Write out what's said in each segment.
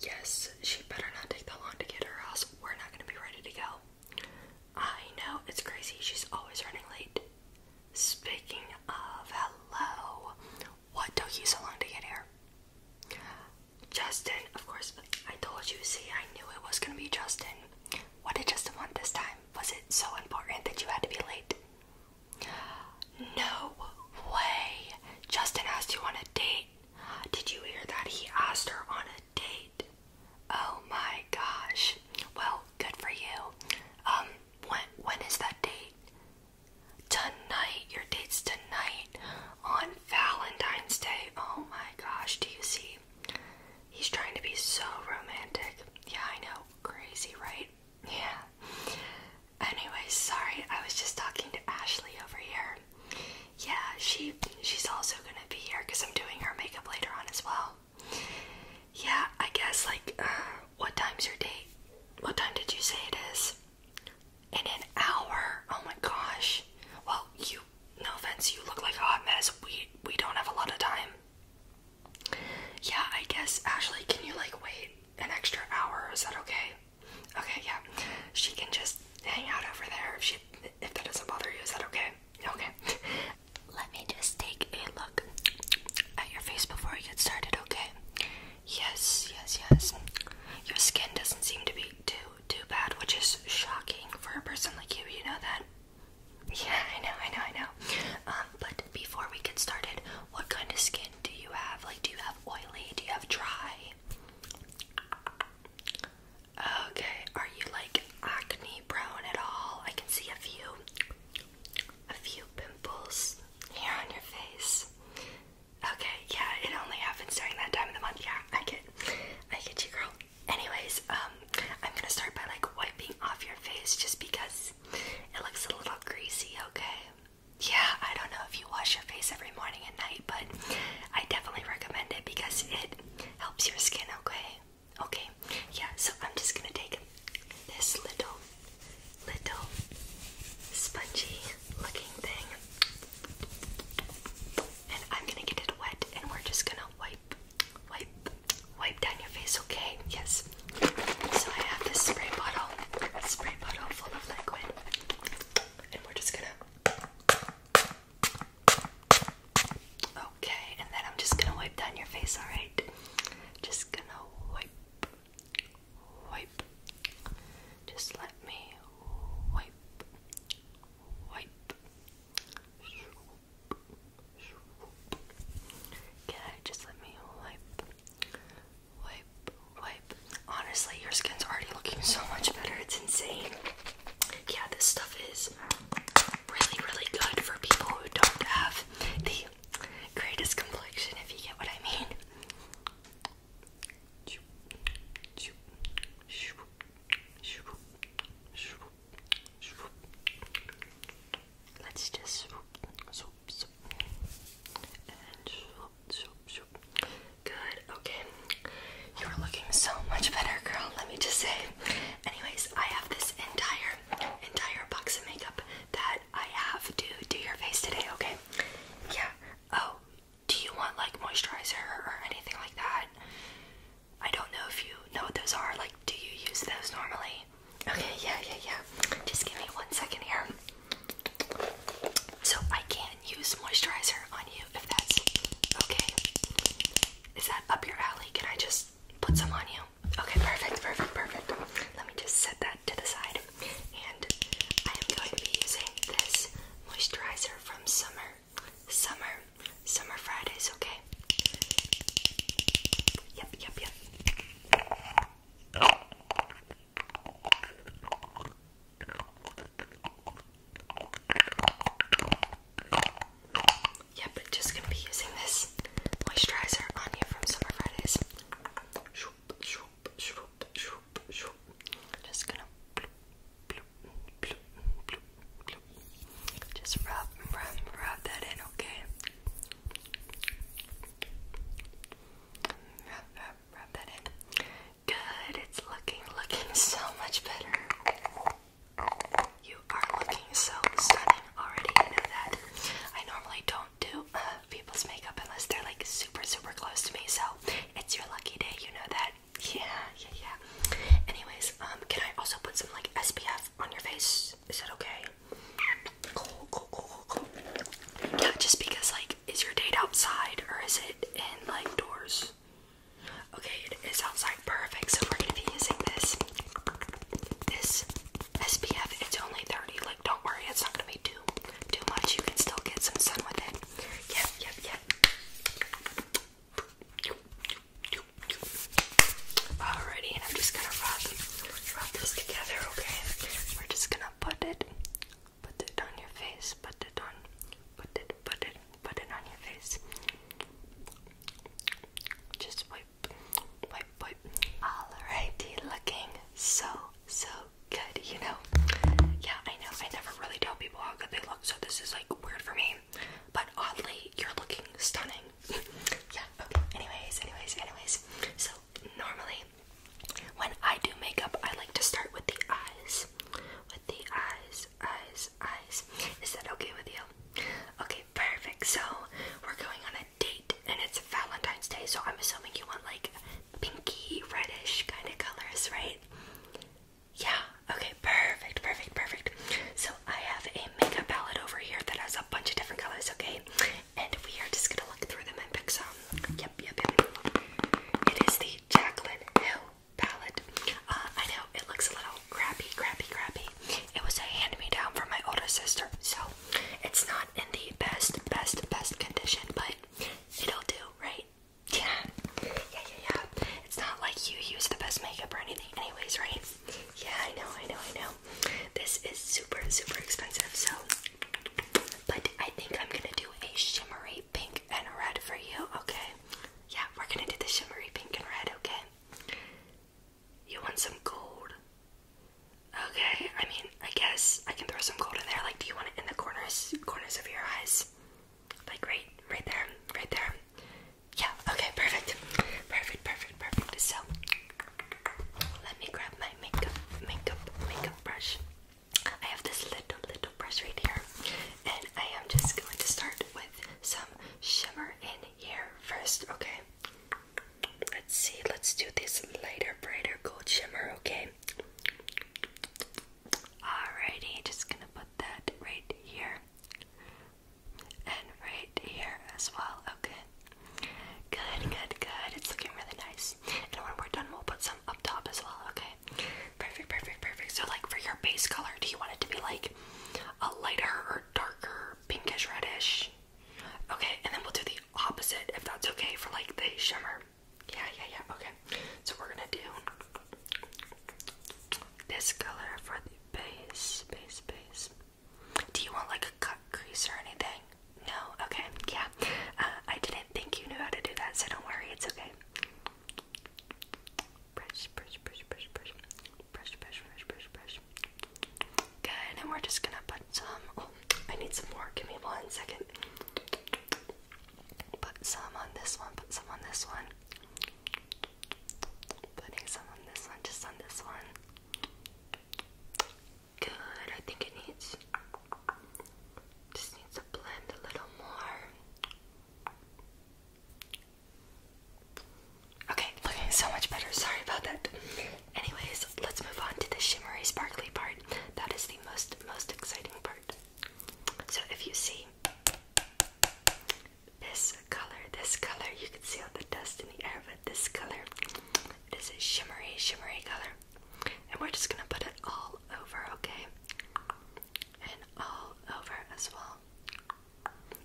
Yes, she better not take that long to get her house. We're not gonna be ready to go. I know, it's crazy. She's always running late. Speaking of, hello. What took you so long to get here? Justin, of course, I told you, see, I knew it was gonna be Justin. What did Justin want this time? Was it so important that you had to be late? No way. Justin asked you on a date. Uh, did you hear that he asked her on a date? Oh my gosh. Well, good for you. Um, when when is that date? Tonight. Your date's tonight on Valentine's Day. Oh my gosh, do you see? He's trying to be so romantic. Yeah, I know. Crazy, right? Yeah. Anyway, sorry, I was just talking to Ashley over here. Yeah, she she's also gonna be here because I'm doing her makeup later on as well. Yeah, I guess like uh, what time's your date? What time did you say it is? In an hour? Oh my gosh. Well, you no offense, you look like a hot mess. We we don't have a lot of time. Yeah, I guess Ashley, can you like wait an extra hour? Is that okay? Okay, yeah. She can just hang out over there if she if that doesn't bother you. Is that okay? Okay. Let me just take a look at your face before we get started, okay? Yes, yes, yes. Your skin doesn't seem to be too too bad, which is shocking for a person like you, you know that? Yeah, I know, I know, I know. Um, but before we get started, what kind of skin do you have? Like, do you have oily? Do you have dry? Okay, are you like acne prone at all? I can see a few, a few pimples here on your face. Okay, yeah, it only happens during that time of the month. Yeah, I get, I get you, girl. Anyways, um, I'm gonna start by like wiping off your face just because it looks a little greasy. Okay yeah, I don't know if you wash your face every morning and night, but I definitely recommend it because it helps your skin, okay? Okay, yeah, so I'm just gonna take this little, little spongy looking thing and I'm gonna get it wet and we're just gonna wipe, wipe, wipe down your face, okay? Yes. So I have this spray bottle, spray bottle full of liquid. And we're just gonna. Okay, and then I'm just gonna wipe down your face, alright? Just gonna wipe, wipe. Just let me wipe, wipe. Okay, just let me wipe, Wipe, wipe. Honestly, your skin's already looking so much better. It's insane. Yeah, this stuff is really, really good for people who don't have the greatest complexion, if you get what I mean. Let's just so Good. Okay. You're looking so much better, girl. Let me just say. Anyways, I have this entire, entire box of makeup that I have to do your face today. Okay. Yeah. Oh, do you want like moisturizer or anything like that? I don't know if you know what those are. Like, do you use those normally? Okay. Yeah. Yeah. Yeah. Just give me one second here. So I can use moisturizer on you if that's okay. Is that up your alley? Can I just put some on you? Okay, perfect, perfect, perfect. Let me just set that to the side. And I am going to be using this moisturizer from Summer, Summer, Summer Fridays, okay? Yep, yep, yep. Yeah, but just gonna be using this moisturizer on you from Summer Fridays. Just gonna Just rub, rub, rub that in, okay? Rub, rub, rub that in. Good, it's looking, looking so much better. You are looking so stunning already, you know that. I normally don't do uh, people's makeup unless they're like super, super close to me, so it's your lucky day, you know that. Yeah, yeah, yeah. Anyways, um, can I also put some like SPF on your face? Is that okay? Yeah, just because, like, is your date outside or is it in, like, doors? Okay, it is outside. Perfect. So we're going to be using this. This SPF. It's only 30. Like, don't worry. It's not going to be too, too much. You can still get some sun with it. Yep, yep, yep. Alrighty, and I'm just gonna rub this together, okay? We're just gonna put it, put it on your face, put it on, put it, put it, put it on your face. Just wipe, wipe, wipe. Alrighty, looking so, so good, you know? Yeah, I know, I never really tell people how good they look, so this is like weird for me. But oddly, you're looking stunning. yeah, okay. Anyways, anyways, anyways. So normally when I do makeup, I like to start with the eyes. With the eyes, eyes, eyes. Is that okay with you? Okay, perfect. So we're going on a date, and it's Valentine's Day. So I'm assuming you want like pinky, reddish kind of colors, right? Yeah. Okay. Perfect. Perfect. Perfect. So I have a makeup palette over here that has a bunch of different colors. Okay. And we are just gonna look through them and pick some. Yep, yep, It is the Jaclyn Hill palette. Uh, I know it looks a little crappy, crappy, crappy. It was a hand-me-down from my older sister, so it's not in the best, best, best condition, but it'll do, right? Yeah, yeah, yeah, yeah. It's not like you use the best makeup or anything, anyways, right? Yeah, I know, I know, I know. This is super, super expensive, so but I think I'm gonna do a shimmery pink and red for you, okay? Yeah, we're gonna do the shimmery pink and red, okay? You want some gold? Okay, I mean, I guess I can throw some gold in there. Like, do you want it in the corners, corners of your eyes? Like, right, right there, right there. Yeah, okay, perfect. Perfect, perfect, perfect. So, let me grab my makeup, makeup, makeup brush. I have this little, little brush right here, and I am just going to start with some shimmer in here first, okay? Let's see, let's do this lighter, brighter gold shimmer, okay? Alrighty, just gonna put that right here and right here as well, okay? Good, good, good. It's looking really nice. And when we're done, we'll put some up top as well, okay? Perfect, perfect, perfect. So, like, for your base color, do you want it to be like a lighter or darker pinkish reddish? Okay, and then we'll do the opposite if that's okay for like the shimmer. Yeah, yeah, yeah. Okay, so we're gonna do this color for the base, base, base. Do you want like a cut crease or anything? No? Okay, yeah. Uh, I didn't think you knew how to do that, so don't worry, it's okay. Brush, brush, brush, brush, brush. Brush, brush, brush, brush, brush. Good, and we're just gonna put some. Oh, I need some more. Give me one second. Put some on this one, put some on this one. Putting some on this one, just on this one. Good. I think it needs just needs to blend a little more. Okay, looking so much better. Sorry about that. Anyways, let's move on to the shimmery sparkly part. That is the most most exciting part. So if you see this color, this color you can see on the dust in the air, this color. It is a shimmery, shimmery color. And we're just gonna put it all over, okay? And all over as well.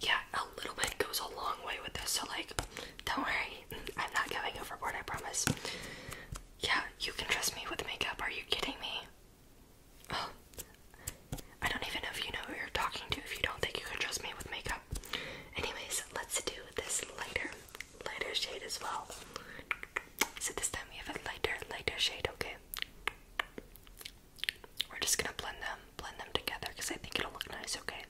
Yeah, a little bit goes a long way with this, so like, don't worry, I'm not going overboard, I promise. Yeah, you can trust me with makeup, are you kidding me? I don't even know if you know who you're talking to if you don't think you can trust me with makeup anyways, let's do this lighter, lighter shade as well. So this time we have a lighter, lighter shade. Okay. We're just gonna blend them, blend them together because I think it'll look nice. Okay.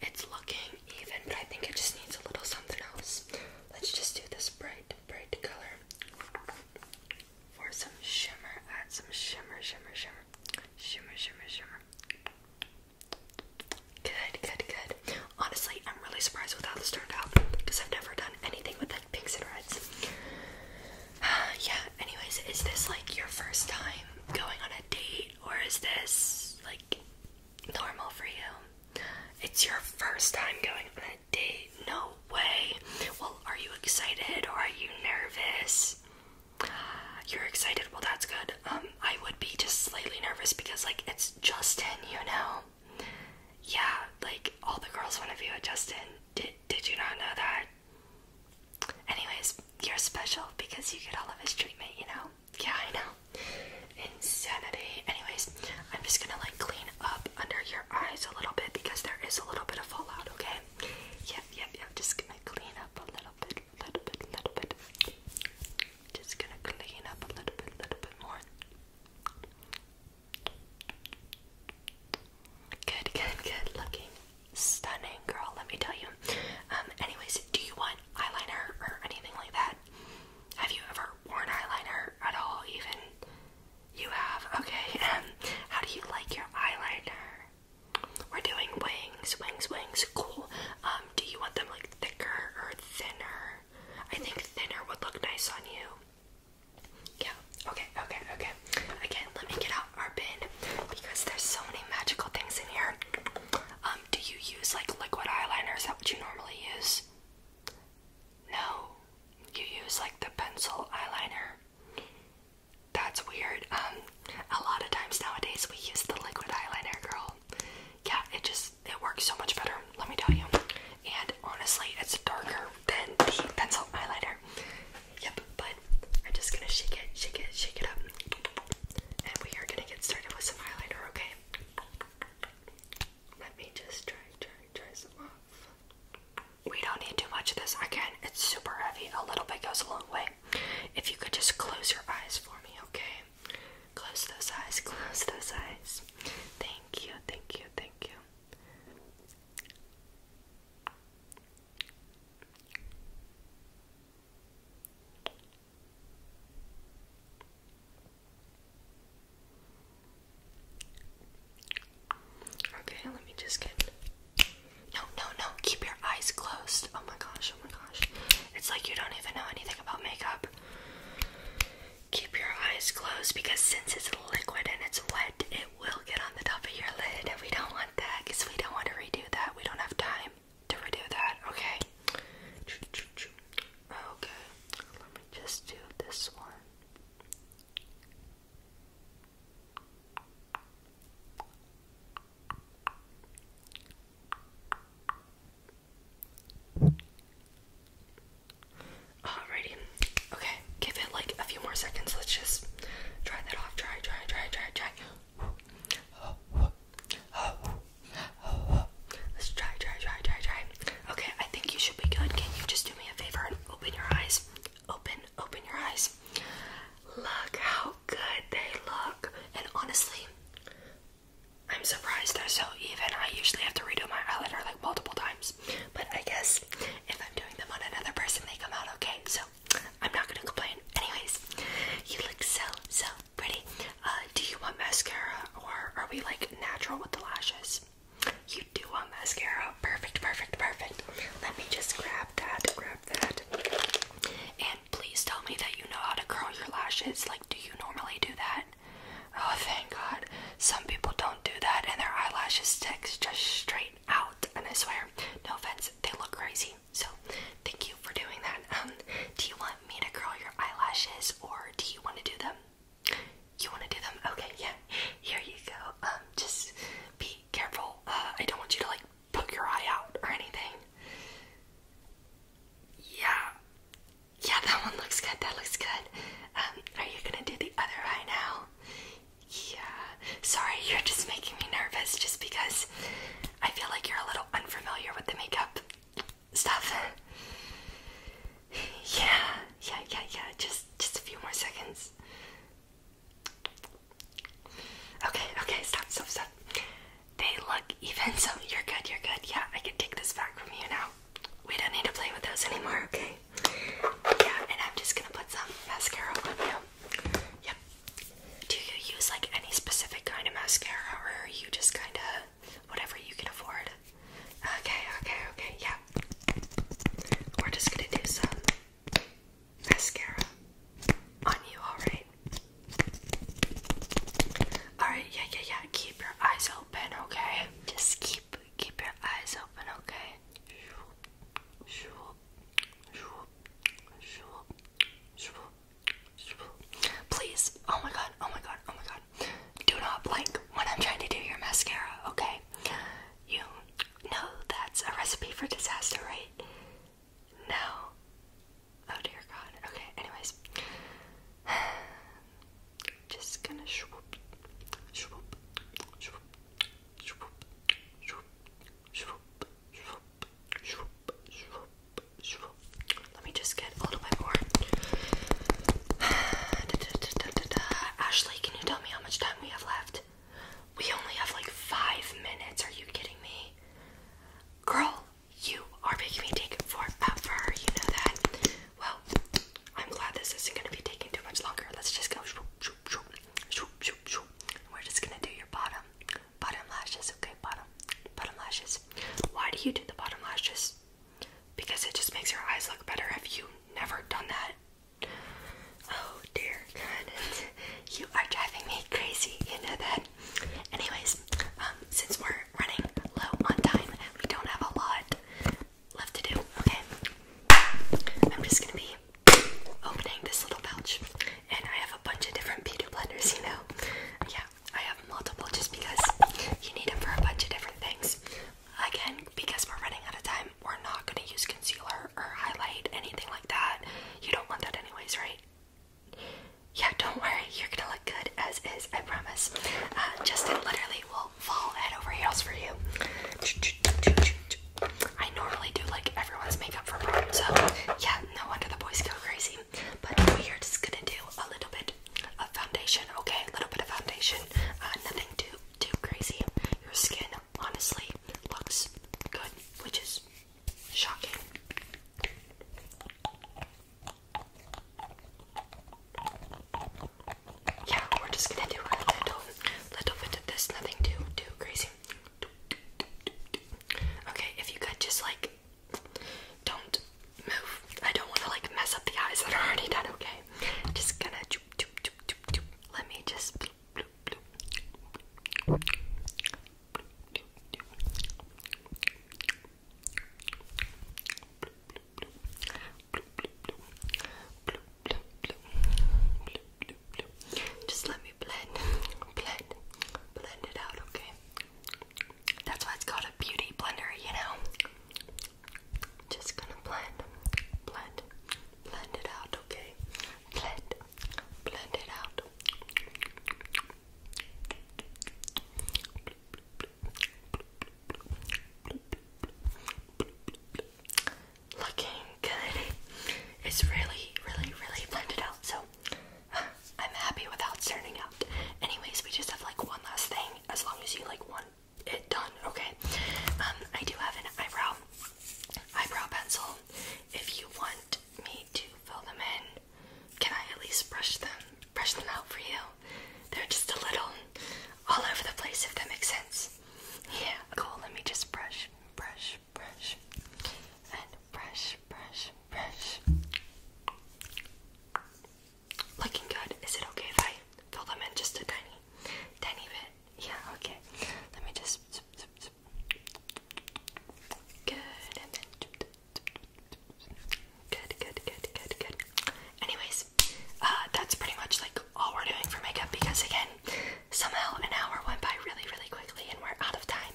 It's looking even, but I think it just needs a little something else. Let's just do this bright bright, color for some shimmer. Add some shimmer, shimmer, shimmer, shimmer, shimmer, shimmer. Good, good, good. Honestly, I'm really surprised with how this turned out because I've never done anything with like pinks and reds. yeah, anyways, is this like your first time going on a date or is this like normal for you? It's your first time going on a date. No way. Well, are you excited or are you nervous? You're excited. Well, that's good. Um, I would be just slightly nervous because, like, it's Justin, you know? Yeah, like, all the girls want to be with Justin. Did, did you not know that? Anyways, you're special because you get all of his treatment, you know? Yeah, I know. Insanity. Anyways, I'm just gonna like clean up under your eyes a little bit because there is a little bit of fallout, okay? Yep, yep, yep. Just gonna clean up a little bit, little bit, little bit. Just gonna clean up a little bit, little bit more. Good, good, good. Looking stunning, girl. Let me tell you. Um, anyways, do you want eyeliner or anything like that? Have you ever worn eyeliner at all, even? You have? Okay. Um, how do you like your eyeliner? We're doing wings, wings, wings. Cool. Um, do you want them like thicker or thinner? I think thinner would look nice on you. Yeah, okay, okay, okay. Again, let me get out our bin because there's so many magical things in here. Um, do you use like liquid eyeliner? Is that what you normally use? No, you use like the pencil eyeliner. That's weird. Um, a lot of times nowadays we use the liquid eyeliner, girl. Yeah, it just it works so much better. Let me tell you. And honestly, it's darker than the pencil eyeliner. Yep, but I'm just gonna shake it, shake it, shake it up, and we are gonna get started with some eyeliner. Okay. Let me just try, try, try some off. We don't need too much of this. Again, it's super heavy. A little bit goes a long way. If you could just close your eyes for me, okay? Close those eyes, close those eyes. Thank you, thank you, thank you. Okay, let me just get. No, no, no, keep your eyes closed. Oh my gosh, oh my gosh. It's like you don't even know anything about makeup. Keep your eyes closed because since it's liquid and it's wet, it will get on the top of your lid, and we don't want that because we don't want to redo that. We don't have time to redo that, okay? Okay, let me just do this one. Alrighty. Okay, give it like a few more seconds. Let's just try that off. Try, try, try, try, try. Let's try, try, try, try, try. Okay, I think you should be good. Can you just do me a favor and open your eyes? Open, open your eyes. Look how good they look. And honestly, I'm surprised they're so even. I usually have to redo my eyeliner like multiple times. But I guess if I'm doing them on another person, they come out okay. So I'm not gonna complain. Anyways, you look so, so, Pretty. Uh, do you want mascara or are we like natural with the lashes? You do want mascara. Perfect, perfect, perfect. Let me just grab that, grab that. And please tell me that you know how to curl your lashes. Like, do you normally do that? Oh, thank God. Some people don't do that and their eyelashes sticks just straight out. And I swear, no offense, they look crazy. So, thank you for doing that. Um, do you want me to curl your eyelashes or do you want to do them? You want to do them? Okay, yeah. Here you go. Um, just be careful. Uh, I don't want you to like poke your eye out or anything. Yeah. Yeah, that one looks good. That looks good. Um, are you gonna do the other eye now? Yeah. Sorry, you're just making me nervous just because I feel like you're a little unfamiliar with the makeup stuff. yeah, yeah, yeah, yeah. Just, just a few more seconds. Okay, okay. Stop, stop, stop. They look even, so you're good. You're good. Yeah, I can take this back from you now. We don't need to play with those anymore. Okay. Yeah, and I'm just gonna put some mascara on you. Yep. Do you use like any specific kind of mascara or are you just kind of whatever you can afford? Okay, okay, okay, yeah. We're just gonna do some mascara on you, alright? Alright, yeah, yeah, yeah. Keep your eyes open, okay? Just keep keep your eyes open, okay? Please, oh my god, oh my god, oh my god. Do not blink when I'm trying to do your mascara, okay? You know that's a recipe for disaster, right? No. Oh dear god. Okay, anyways. Just gonna swoop, swoop, swoop, swoop, swoop, swoop, let me just get a little bit more. Ashley, can you tell me how much time we have left? We only have like five minutes. Are you kidding me? Girl, you are making me take it forever. You know that. Well, I'm glad this isn't going to be taking too much longer. Let's just go. We're just going to do your bottom. Bottom lashes, okay, bottom, bottom lashes. Why do you do the bottom lashes? Because it just makes your eyes look better. Have you never done that? Oh dear God, you are driving me crazy. You know that. Anyways, um, since we're running low on time, we don't have a lot left to do. Okay, I'm just gonna be opening this little pouch, and I have a bunch of different beauty blenders. You know, yeah, I have multiple just because you need them for a bunch of different things. Again, because we're running out of time, we're not going to use concealer or highlight, anything like that. You don't want that, anyways, right? Yeah, don't worry, you're gonna look good as is, I promise. Uh, Justin literally will fall head over heels for you. I normally do like everyone's makeup for prom, so yeah, no wonder the boys go crazy. But we are just gonna do a little bit of foundation, okay? A little bit of foundation. Uh, nothing too too crazy. Your skin honestly looks good, which is shocking. Yeah, we're just gonna do a little, little bit of this. Nothing too, too crazy. Okay, if you could just like don't move. I don't want to like mess up the eyes that are already done, okay? just gonna choop, choop, choop, choop, choop. Let me just Just let me blend, blend, blend it out, okay? That's why it's called a beauty blender, you know? Just gonna blend, blend, blend it out, okay? Blend, blend it out. Looking good. It's really, really, really blended out. So I'm happy without turning out. Anyways, we just have like one last thing as long as you like want it done, okay? Um, I do have an eyebrow eyebrow pencil. If you want me to fill them in, can I at least brush them brush them out for you? They're just a little all over the place if that makes sense. Yeah, cool, let me just brush, brush, brush, and brush, brush, brush. Looking good. Is it okay if I fill them in just a tiny, tiny bit? Yeah, okay. Let me just. Good, and then. Good, good, good, good, good. Anyways, uh, that's pretty much like all we're doing for makeup because, again, Somehow an hour went by really, really quickly and we're out of time.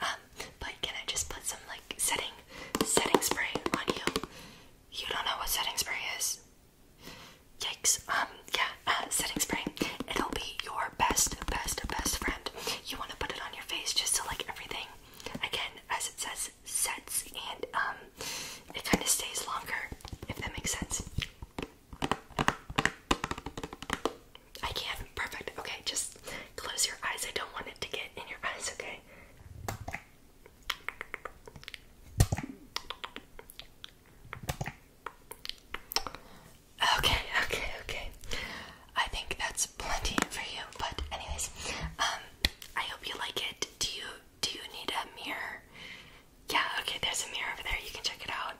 Um, but can I just put some like setting setting spray on you? You don't know what setting spray is. Yikes. Um, yeah, uh, setting spray. It'll be your best, best, best friend. You want to put it on your face just to like everything. Again, as it says, sets and um, it kind of stays longer, if that makes sense. I can. Perfect. Okay, just close your eyes. I don't want it to get in your eyes, okay? Okay, okay, okay. I think that's plenty for you. But anyways, um I hope you like it. Do you do you need a mirror? Yeah, okay, there's a mirror over there. You can check it out.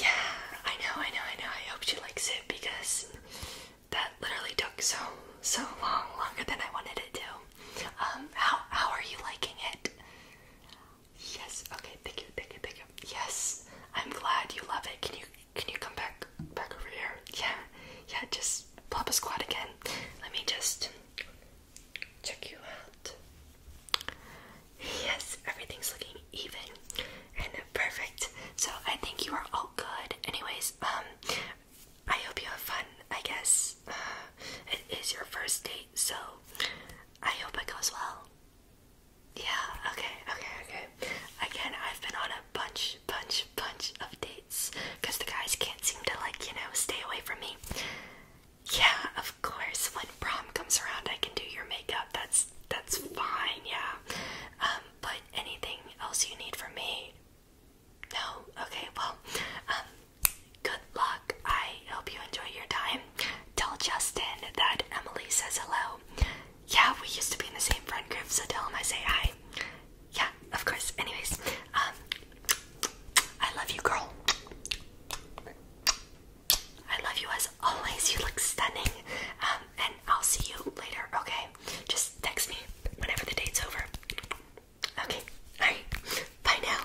Yeah, I know, I know, I know. I hope she likes it because that literally took so so long, longer than I wanted it to. Um, how how are you liking it? Yes. Okay. Thank you. Thank you. Thank you. Yes. I'm glad you love it. Can you can you come back back over here? Yeah. Yeah. Just pop a squat again. Let me just check you out. Yes, everything's looking even and perfect. So I think you are all good. Anyways, um, I hope you have fun. I guess uh, it is your first date, so I hope it goes well. Yeah. Okay. Okay. Okay. Again, I've been on a bunch, bunch, bunch of dates because the guys can't seem to like you know stay away from me. Yeah, of course. When prom comes around, I can do your makeup. That's that's fine. Yeah. Um, but anything else you need from me? No. Okay. Well, um, good luck. I hope you enjoy your time. Tell Justin that Emily says hello. Yeah, we used to be in the same friend group, so tell him I say hi. Yeah, of course. Anyways, um, I love you, girl. I love you as always. You look stunning. Um, and I'll see you later, okay? Just text me whenever the date's over. Okay, alright. Bye now.